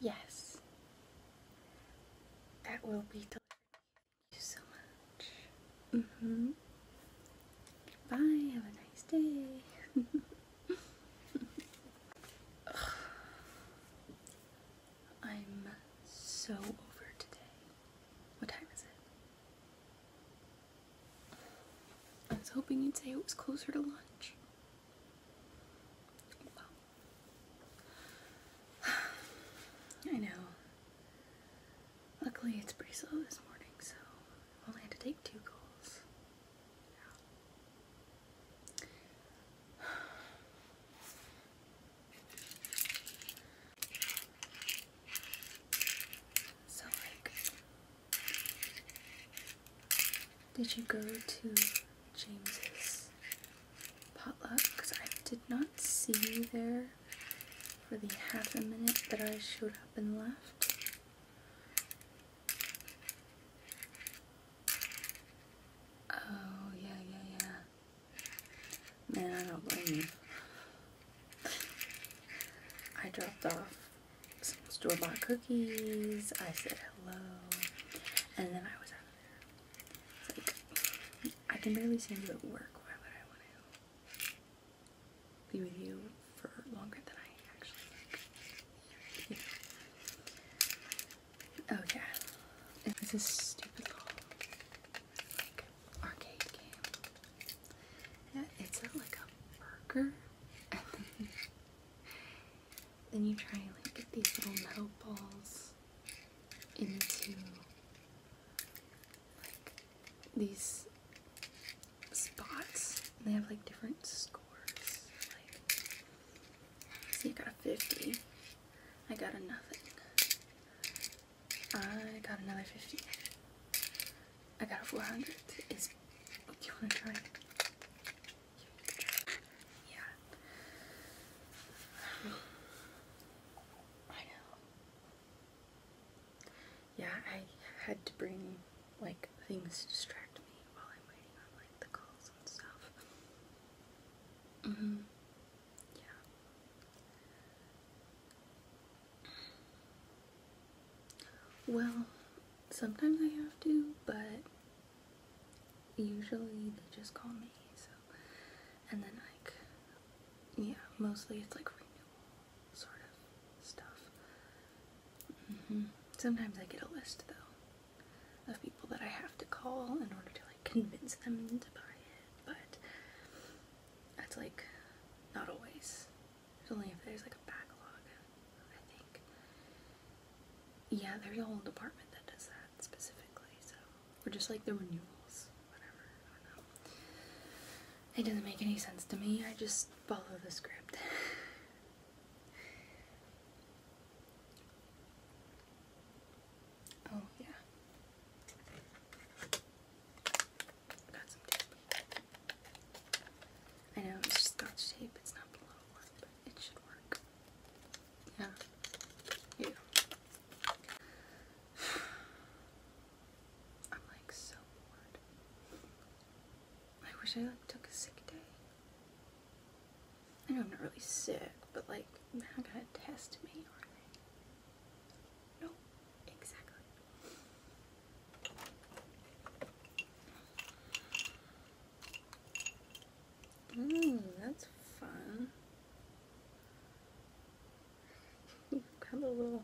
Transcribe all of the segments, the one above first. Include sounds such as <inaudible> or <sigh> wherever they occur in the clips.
Yes. That will be delivered. Thank you so much. hmm Bye, have a nice day. <laughs> I'm so over today. What time is it? I was hoping you'd say it was closer to lunch. <sighs> I know. Luckily, it's pretty slow this morning, so I only had to take two calls. <sighs> So, like, did you go to James's potluck? Because I did not see you there for the half a minute that I showed up and left. Oh, yeah, yeah, yeah. Man, I don't blame I dropped off store-bought cookies. I said hello. And then I was out of there. like, I can barely see you at work. Why would I want to be with you for longer than I actually like? Oh yeah, this is stupid arcade game. Yeah, it's like a burger. <laughs> then, you try and like get these little metal balls into like these spots. And they have like different scores. Like, so you got a 50. I got a nothing. I got another 50. I got a 400. do you want to try Yeah. I know. Yeah, I had to bring like things to distract me while I'm waiting on like the calls and stuff. Mm hmm. Yeah. Well, sometimes I have to, but usually they just call me, so. And then, like, yeah, mostly it's like renewal sort of stuff. Mm-hmm. Sometimes I get a list, though, of people that I have to call in order to, like, convince them to buy it, but that's like not always. It's only if there's like a backlog, I think. Yeah, there's a whole department that does that specifically, so. we're just like the renewals, whatever, I don't know. It doesn't make any sense to me, I just follow the script. <laughs> oh, yeah. I know it's scotch tape. It's not a lot of but it should work. Yeah. Yeah. <sighs> I'm like so bored. I wish I took a sick day. I know I'm not really sick, but like, they I not gonna test me, are they? No, exactly. Mmm, that's fun. You've <laughs> got a little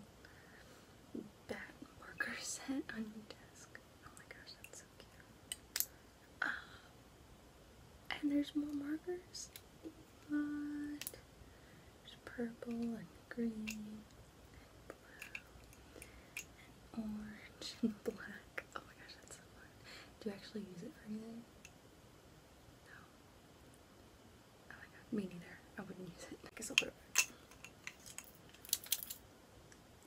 bat marker set on your desk. Oh my gosh, that's so cute. Ah, and there's more markers. There's purple and green and blue and orange and <laughs> black. Oh my gosh, that's so fun. Do you actually use it for anything? No. Oh my god, me neither. I wouldn't use it. I guess I'll put it back.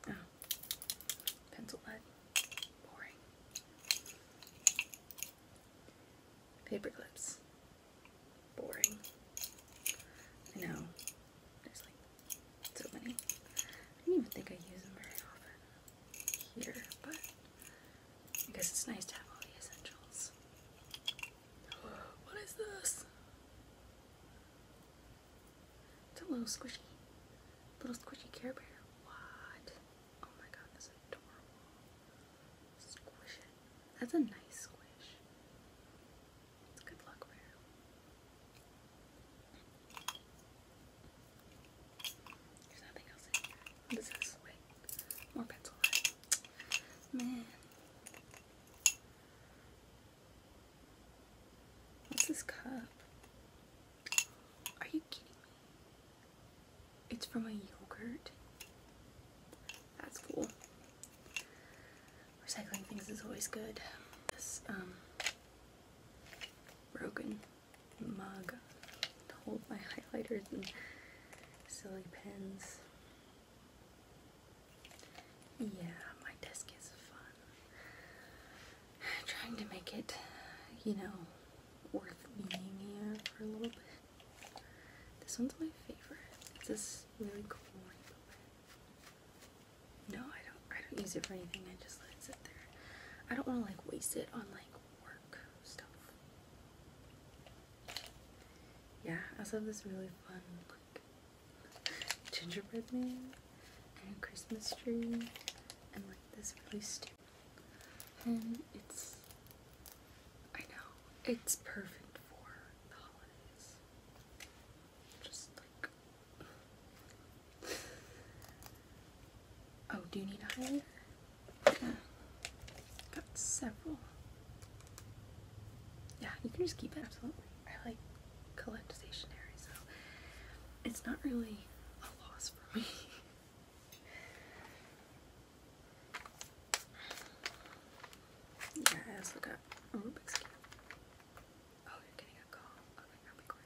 Oh. Pencil lead. Boring. Paper clips. Boring. I know. There's like so many. I didn't even think I use them very often here, but I guess it's nice to have all the essentials. What is this? It's a little squishy. Little squishy Care Bear. What? Oh my god, that's adorable. Squish it. That's a nice squish. good luck bear. There's nothing else in here. Wait. More pencil Man. What's this cup? Are you kidding me? It's from a yogurt. That's cool. Recycling things is always good. This um, broken mug to hold my <laughs> highlighters and silly pens. Yeah, my desk is fun. <sighs> trying to make it, you know, worth being here for a little bit. This one's my favorite. It's this really cool No, I don't I don't use it for anything, I just let it sit there. I don't wanna like waste it on like work stuff. Yeah, I also have this really fun like <laughs> gingerbread man and a Christmas tree and like this really stupid, And it's, I know, it's perfect for the holidays. Just like. Oh, do you need a highlighter? Yeah. Got several. Yeah, you can just keep it, absolutely. I like collect stationery, so it's not really yeah, I also got a Rubik's Cube. Oh, you're getting a call. Okay, I'll be quiet.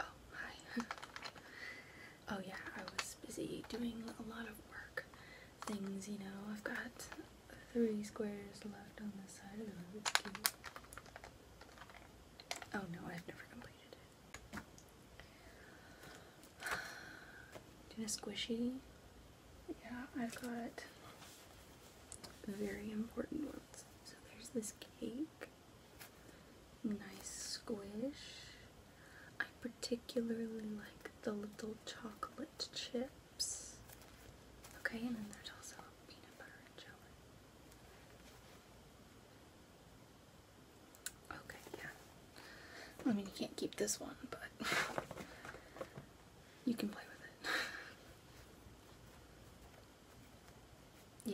Oh, hi. <laughs> oh, yeah, I was busy doing a lot of work things, you know. I've got three squares left on this side of the Rubik's Cube. Oh, no, I've never completed it. Do you know squishy? Yeah, I've got very important ones. So there's this cake. Nice squish. I particularly like the little chocolate chips. Okay, and then there's also peanut butter and jelly. Okay, yeah. I mean, you can't keep this one, but you can play with it.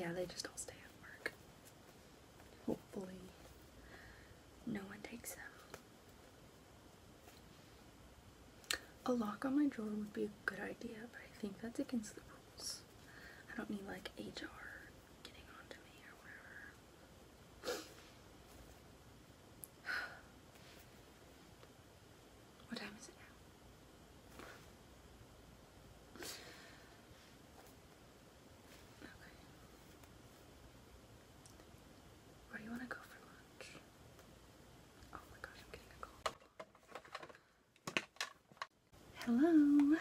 yeah, they just all stay at work. Hopefully, no one takes them. A lock on my drawer would be a good idea, but I think that's against the rules. I don't need like HR getting onto me or whatever. What time is it now? Where do you want to go for lunch? Oh my gosh, I'm getting a call. Hello.